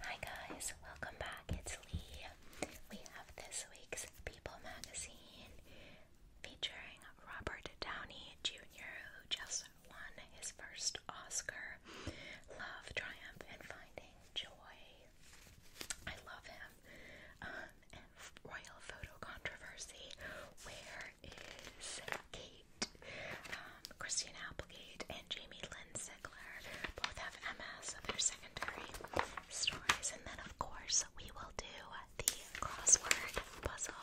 Hi guys, welcome back. It's Lee. We have this week's People magazine featuring Robert Downey Jr., who just won his first Oscar. Love, Triumph, and Finding Joy. I love him. Um, royal Photo Controversy. Where is Kate? Um, Christian Applegate and Jamie Lynn Winkler both have MS, so they secondary stories. And then, of course, we will do the crossword puzzle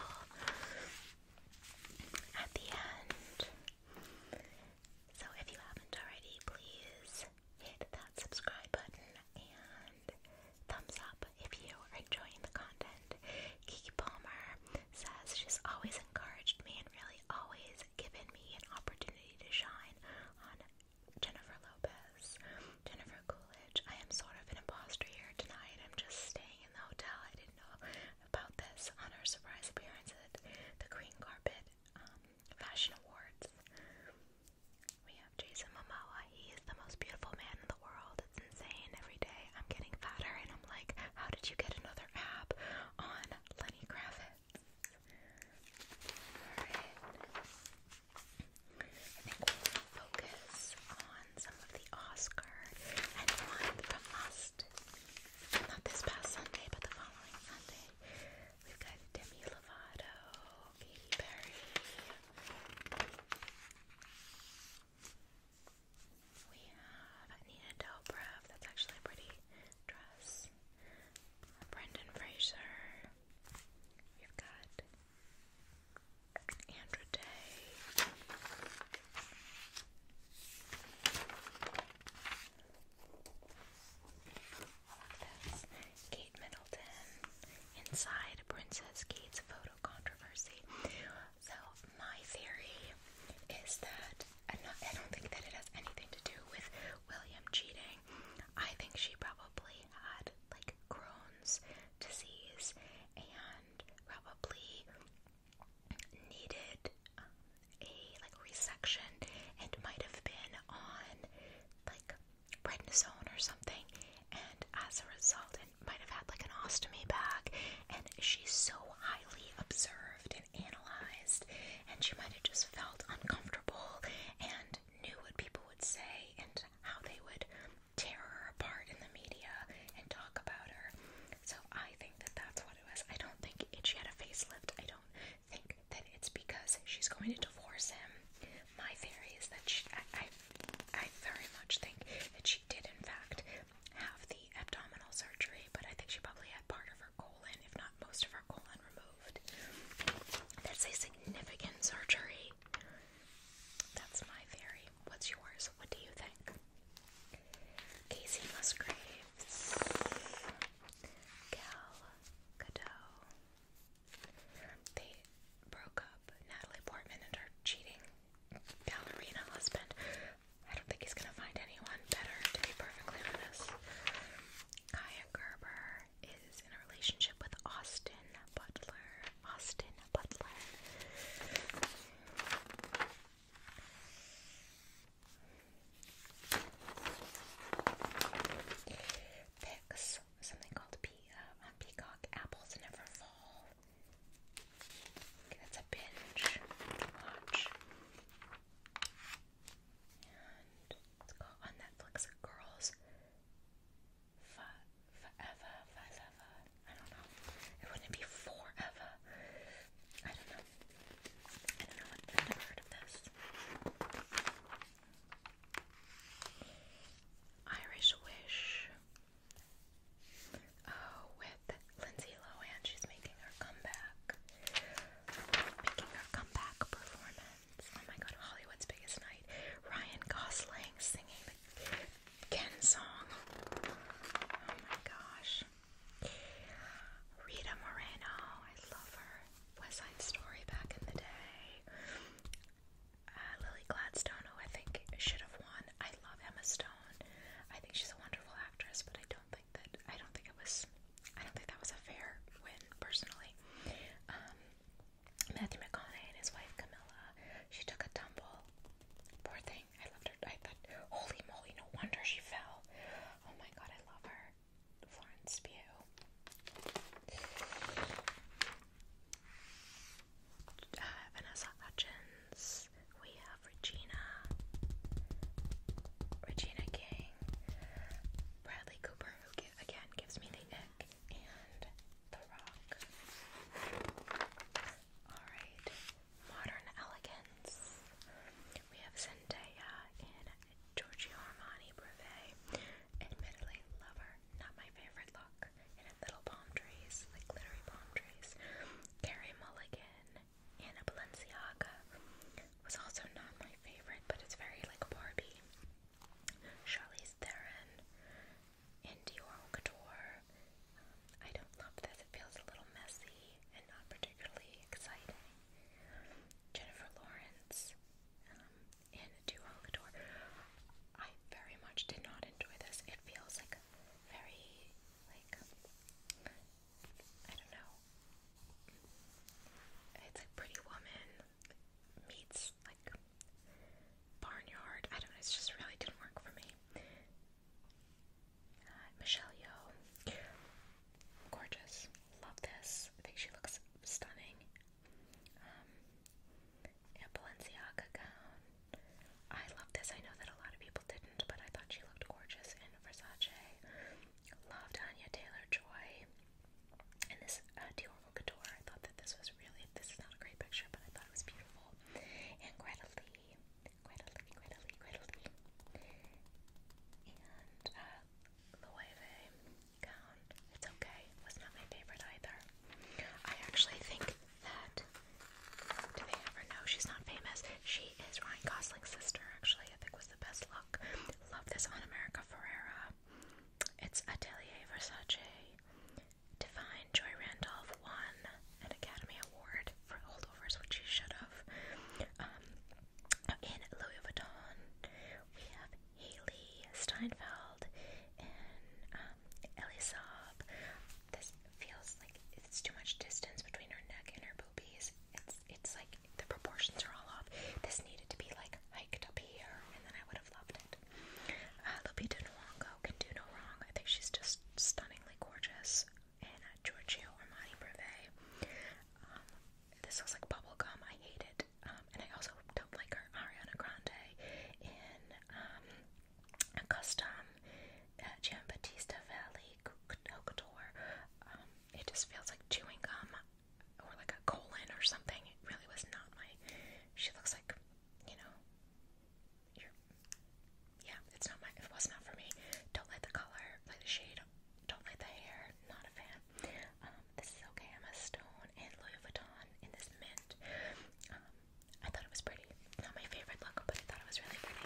at the end. So, if you haven't already, please hit that subscribe button and thumbs up if you are enjoying the content. Kiki Palmer says she's always encouraged me and really always given me an opportunity to shine on Jennifer Lopez, Jennifer Coolidge. I am sort of an imposter here tonight. I'm just staying in the hotel. I didn't know about this on her surprise appearance at the Green Carpet um, Fashion Awards. We have Jason Momoa. He is the most beautiful man in the world. It's insane. Every day I'm getting fatter, and I'm like, how did you get another ab on Lenny Kravitz? I think we'll focus on some of the Oscar and from last, not this past Sunday, but the following Sunday. We've got Demi Lovato, Katy Perry. We have Nina Dobrev. That's actually a pretty dress. Brendan Fraser. We've got Andra Day. Kate Middleton inside Princess Kate's photo controversy. So, my theory is that I'm not, I don't think that it has anything to do with William cheating. I think she probably had like Crohn's disease and probably needed um, a like resection and might have been on like prednisone or something and as a result it might have had like an ostomy bag and she's so highly observed and analyzed, and she might have just felt uncomfortable and knew what people would say and how they would tear her apart in the media and talk about her. So I think that that's what it was. I don't think it, she had a facelift. I don't think that it's because she's going to divorce him. My theory is that she, I, I, I very much think that she did, in fact, have the abdominal surgery, but I think she probably had part of her colon, if not most of her colon, removed that's a significant surgery. That's my theory. What's yours? What do you think? Casey Musgraves, Gal Gadot. They broke up. Natalie Portman and her cheating ballerina husband. I don't think he's gonna find anyone better, to be perfectly honest. Gerber is in a relationship with Austin Butler. Austin Butler. Picks something called uh, Peacock. Apples never fall. that's a binge watch. And it's on Netflix Girls Forever, Forever. I don't know. It wouldn't be forever. I don't know. I don't know. I've never heard of this. Irish Wish. Oh, with Lindsay Lohan, she's making her comeback. Making her comeback performance. Oh my god, Hollywood's Biggest Night. Ryan Gosling singing the Ken song. Oh my gosh. Rita Moreno, I love her. West Side Story back in the day. Uh, Lily Gladstone, who I think should have won. I love Emma Stone. I think she's a wonderful actress, but I don't that I don't think it was I don't think that was a fair win personally. Um, Matthew McConaughey and his wife Camilla, she took a tumble. Poor thing. I loved her. I thought, holy moly, no wonder she fell. Oh my god, I love her. Florence Pugh. Uh, Vanessa Hutchins. We have Regina. Regina King. Bradley Cooper who again gives me the ick, and The Rock. Alright, Modern Elegance. We have Zendaya in Giorgio Armani Brevet. Admittedly, lover, not my favorite look. And little palm trees, like glittery palm trees. Carrie Mulligan in a Balenciaga was also not my favorite, but it's very like Barbie. Charlize Theron and Dior Couture. Um, I don't love this. It feels a little messy and not particularly exciting. Jennifer Lawrence um, Dior Couture. I very much did not enjoy this. It feels like very like I don't know. It's a pretty woman, meets like barnyard. I don't know. It just really didn't work for me. Uh, Michelle Yeoh, gorgeous. Love this. I think she looks stunning. Um, a gown. I love this. I know that a lot of people didn't, but I thought she looked gorgeous in Versace. Loved Anya Taylor Joy. And this uh, Dior Couture, I thought that this was really, this is not a great picture, but I thought it was beautiful. And Greta Lee, Greta Lee, Greta Lee, Greta Lee. And uh, Loewe gown. It's okay. It was not my favorite either. I actually think that, do they ever know she's not famous? She is Ryan Gosling's sister, actually, I think was the best look. Love this on America Ferrera. It's Atelier Versace, Divine Joy Randolph won an Academy Award for holdovers, which she should have. Um, in Louis Vuitton, we have Haley Steinfeld and um, Elisab. This feels like it's too much distance between her neck and her boobies it's like the proportions are all off. This needed to be like hiked up here, and then I would have loved it. Uh, Lupita Nyong'o can do no wrong. I think she's just stunningly gorgeous. And uh, Giorgio Armani Brevet. Um, this looks like bubble gum. I hate it. Um, and I also don't like her Ariana Grande in um, a custom uh, Gian Battista Valley Couture. Um, it just feels like chewing gum or like a colon or something. really was not my. She looks like, you know, Yeah, it's not my. It was not for me. Don't like the color, like the shade. Don't like the hair. Not a fan. Um, this is okay. I'm a stone and Louis Vuitton in this mint. Um, I thought it was pretty. Not my favorite look, but I thought it was really pretty.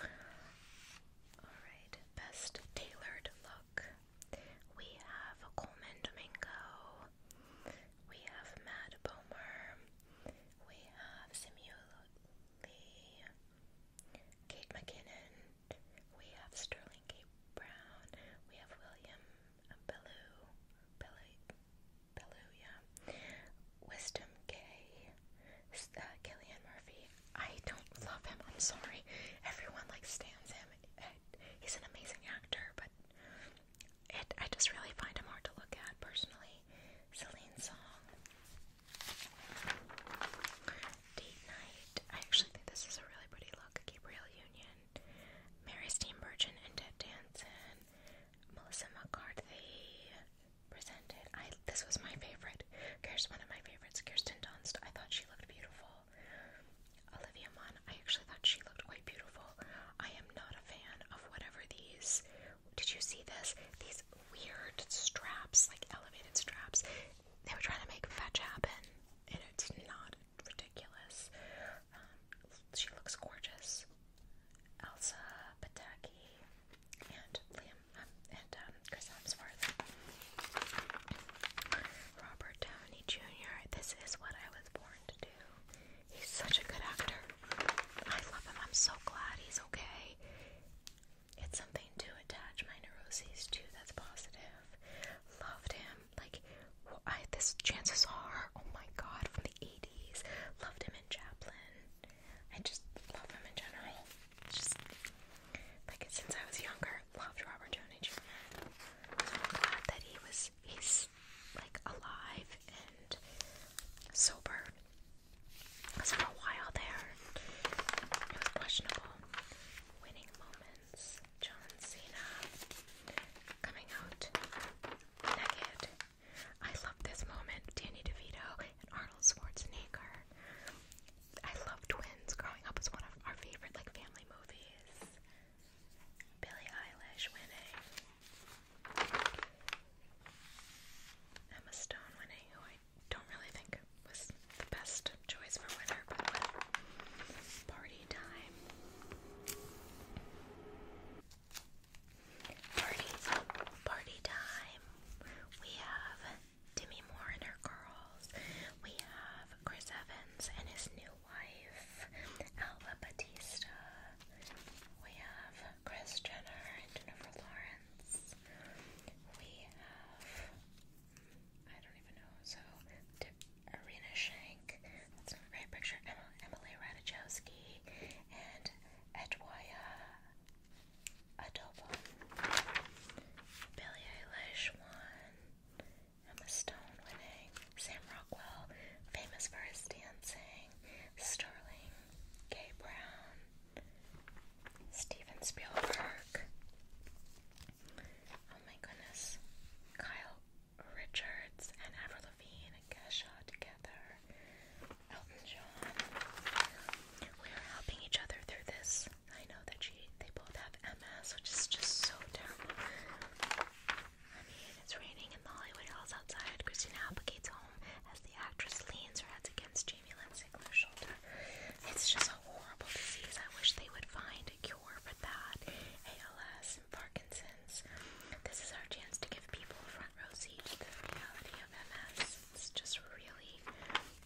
Alright, best tailored look. We have Coleman Domingo. We have Mad Bomer. We have Samuel Lee. Kate McKinnon. We have Sterling K. Brown. We have William Bellew. Bellew. Bellew, yeah. Wisdom K. Uh, Killian Murphy. I don't love him. I'm sorry. Everyone like stands him. He's an amazing actor, but I just really find him hard to look at personally. Celine Song. Date Night. I actually think this is a really pretty look. Gabriel Union. Mary Steenburgen and Ted Danson. Melissa McCarthy presented. I this was my favorite. Kirsten, one of my favorites, Kirsten Dunst. I thought she looked beautiful. Oh, Olivia Munn, I actually thought she looked quite beautiful. I am not a fan of whatever these. Did you see this? These weird straps, like elevated straps. They were trying to make fetch happen, and it's not ridiculous. Um, she looks gorgeous. Elsa Pataki and Liam um, and um, Chris. I'm sorry. Robert Downey Jr. This is what I was born to do. He's such a good actor. I love him. I'm so glad he's okay. It's something to attach my neuroses to that's positive. Loved him. Like, this chances are, oh my god, from the 80s. Loved him in Chaplin. I just love him in general. Just, like, since I was younger, loved Robert Downey Jr. So I'm glad that he was he's like alive and sober. Cause for a while there, it was questionable. Winning moments. John Cena coming out naked. I love this moment. Danny DeVito and Arnold Schwarzenegger. I love Twins. Growing up was one of our favorite like family movies. Billie Eilish winning, Emma Stone winning, who I don't really think was the best choice for winner, Party time. party time. We have Demi Moore and her girls. We have Chris Evans and his new wife, Alba Batista. We have Chris Jenner and Jennifer Lawrence. We have I don't even know. So Arena Shank. That's not the picture. Emily Ratajkowski and Edwaya Adobo. Billie Eilish one. Emma Stone winning, Sam Rockwell famous for his dancing, Sterling K. Brown, Steven Spielberg. Oh my goodness, Kyle Richards and Avril Lavigne and Kesha together, Elton John. We are helping each other through this. I know that they both have MS, which is just so terrible. I mean, it's raining in the Hollywood Hills outside. Christina Applegate's home as the actress leans her head against Jamie Linsingler's shoulder. It's just a horrible disease. I wish they would find a cure for that. ALS and Parkinson's. This is our chance to give people a front row seat to the reality of MS. It's just really,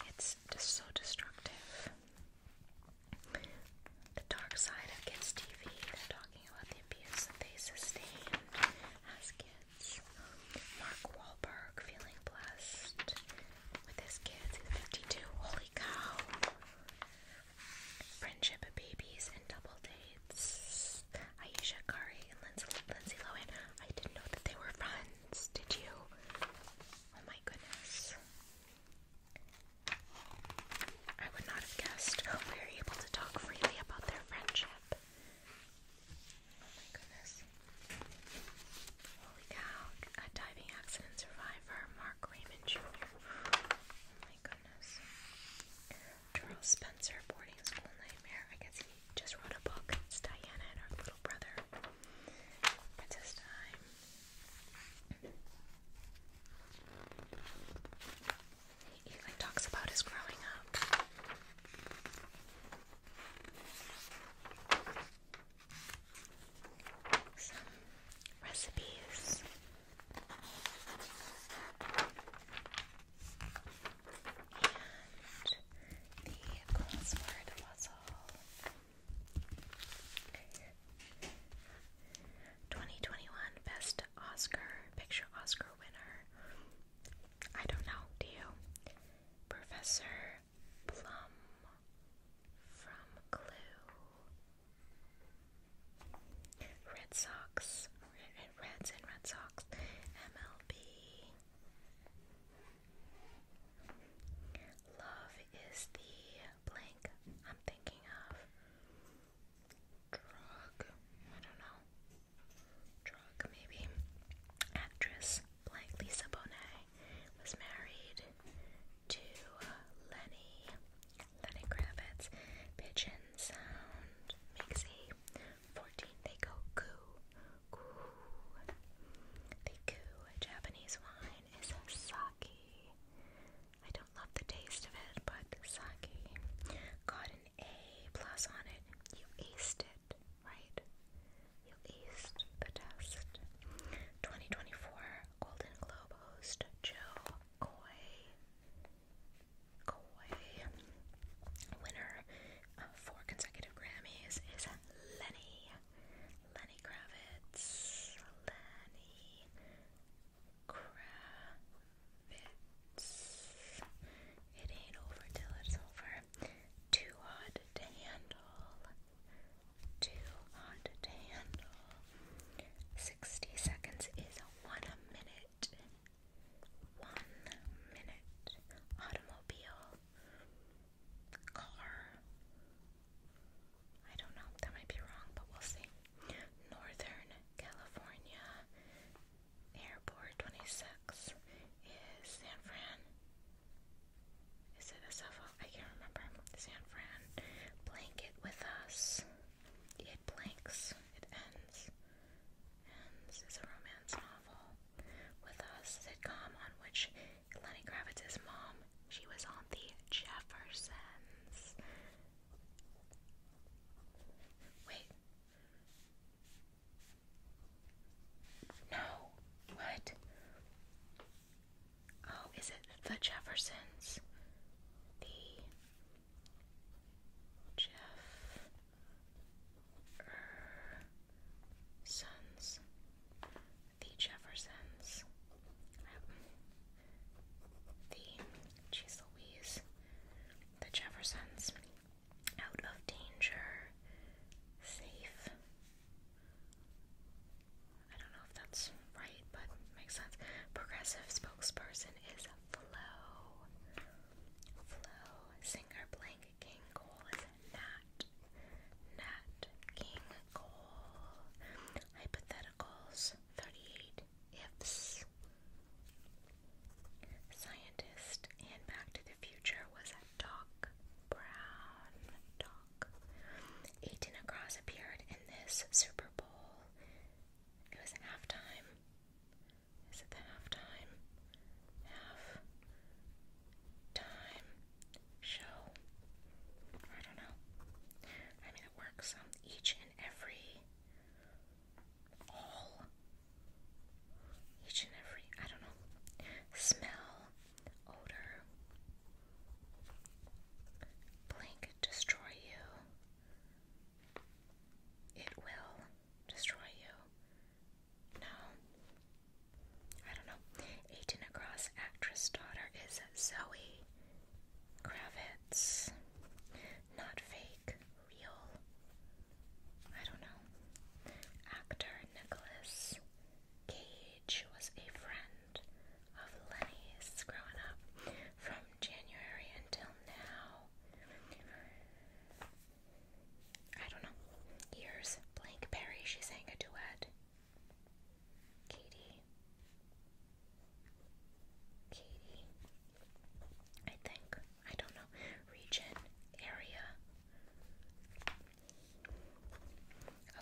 it's just so destructive. The dark side of kids' TV. They're talking about the abuse that they sustained as kids. Mark Wahlberg feeling blessed with his kids. He's 52. Holy cow. Friendship of babies and double dates. Aisha Curry and Lindsay, Lindsay Lohan. I didn't know that they were friends. Did you? Oh my goodness. I would not have guessed oh, we are able to talk freely about their friendship. Oh, Holy cow, a diving accident survivor, Mark Raymond Jr. Oh my goodness. Charles Spencer, boarding school nightmare. I guess he just wrote a book. It's Diana and her little brother. Princess Time. He talks about his growing up. recipes. And the crossword puzzle. 2021 Best Oscar Picture Oscar winner. I don't know, do you? Professor Plum from Clue. Red Sox. Reds and Red Sox. MLB. Love is the blank I'm thinking of. Drug, I don't know. Drug, maybe. Actress blank Lisa Bonet was married to uh, Lenny, Lenny Kravitz. Pigeon sound makes 14. They go goo, goo. They goo. Japanese wine is sake. I don't love the taste of it, but sake got an A plus on it. You aced it, right? You aced the test. 2024 Golden Globe host Joe Coy. Coy. Winner of four consecutive Grammys is Lenny. Lenny Kravitz. Lenny Kravitz. It ain't over it's over. Too hot to handle. Too hot to handle. 60 seconds is one minute. One minute. Automobile. Car. I don't know, that might be wrong, but we'll see. Northern California Airport 26 is San Fran. Is it a Suffolk? I can't remember. San Fran. Blank it with us. It blanks. It ends. Ends is a romance novel. With us sitcom on which Lenny Gravitz's mom, she was on the Jeffersons. Wait. No. What? Oh, is it the Jeffersons? The Jeff -er Sons. The Jeffersons the Cheese the Jeffersons, Out of Danger, Safe. I don't know if that's right, but makes sense. Progressive spokesperson is Flo. Flo. Singer blank King Cole is Nat. Nat King Cole. Hypotheticals 38 ifs. Scientist and Back to the Future was Doc Brown. Doc. Aiton Across appeared in this Super Bowl. It was halftime. Is it the halftime? Half time show. I don't know. I mean, it works on each and every all each and every I don't know smell, odor, blink destroy you. It will destroy you. No. I don't know. 18 across actress daughter is Zoe Kravitz. Not fake, real. I don't know. Actor Nicholas Cage was a friend of Lenny's growing up from January until now. I don't know. Years. Blank Perry, she sang a duet. Katie. Katie, I think. I don't know. Region, area.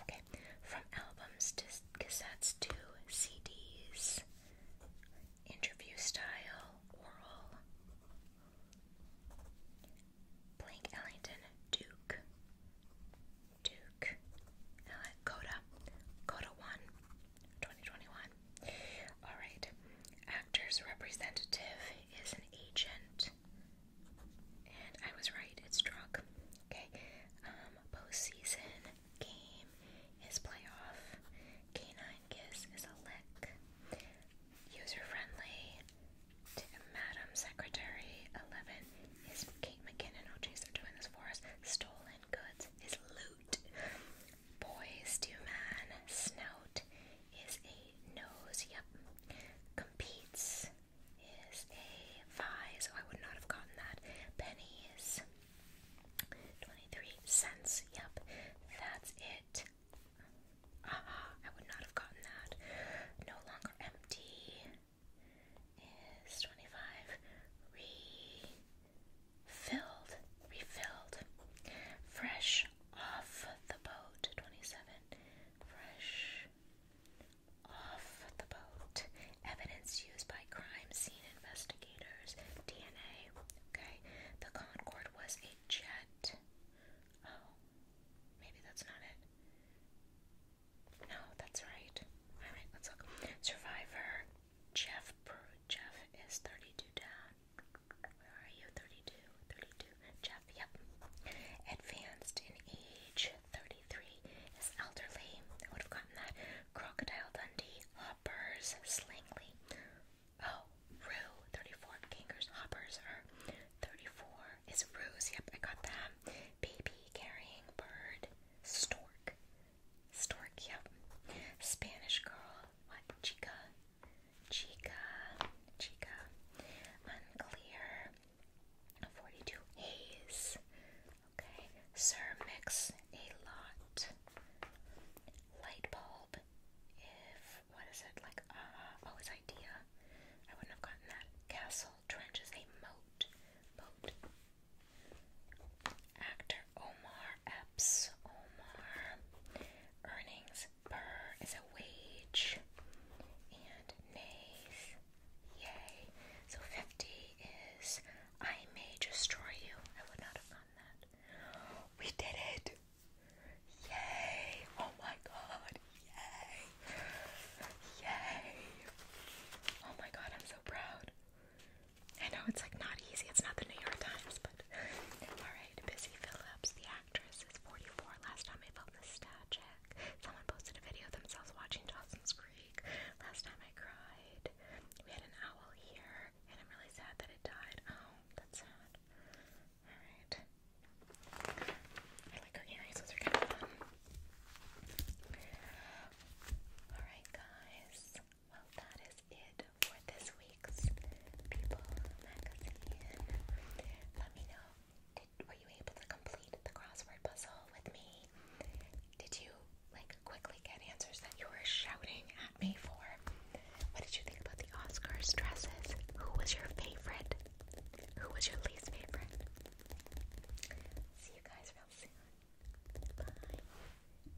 Okay, from albums to cassettes to CDs, interview style, oral. Blink Ellington, Duke, Duke, uh, Coda, Coda 1, 2021. All right. Actors representative is an agent. And I was right, it's drug. Okay. Um, postseason game is playoff. Canine kiss is a lick. User friendly to Madam Secretary 11 is Kate McKinnon. Oh, geez, they're doing this for us. Stolen goods is loot. Boys do man, snout is a nose, yep. Competes is a five, so I would not have gotten that. Pennies, 23 cents, yep. That's it. Aha, I would not have gotten that. No longer empty is 25 filled, refilled, fresh off the boat. 27. Fresh off the boat. Evidence used by crime scene investigators. DNA. Okay. The Concorde was a jet. Oh, maybe that's not it. No, that's right. Alright, let's look. Survivor. Jeff Jeff is 32 down. Where are you? 32. Jeff, yep. Advanced in age. 33 is elderly. I would have gotten that. Crocodile Dundee. Hoppers. Slangly. Oh, Rue. 34. Hoppers are 34. Is Ruse. Yep, I got that. Baby carrying bird. Stork. Stork, Spanish girl. What? Chica. Chica. Chica. Unclear. 42. Haze. Okay. Cermix. A lot. Light bulb. If. What is it? Like, uh, oh, idea. I wouldn't have gotten that. Castle. Trenches. A moat. Boat. Actor Omar Epps. Omar. Earnings per is a wage. And nays. Yay. So 50 is I may destroy you. I would not have gotten that. We did it. Yay. Oh my god. Yay. Yay. Oh my god, I'm so proud. I know it's like not easy. It's not the New York Times, but all right. Busy Phillips, the actress, is 44. Last time I felt nostalgic, someone posted a video of themselves watching Dawson's Creek. Last time I cried. We had an owl here, and I'm really sad that it died. Oh, that's sad. All right. I like her earrings; those are kind of fun. All right, guys. Well, that is it for this week's People Magazine. Let me know, did, were you able to complete the crossword puzzle with me? Did you, like, quickly get answers that you were shouting at me for? What did you think about the Oscars dresses? Who was your favorite? Who was your least favorite? See you guys real soon. Bye.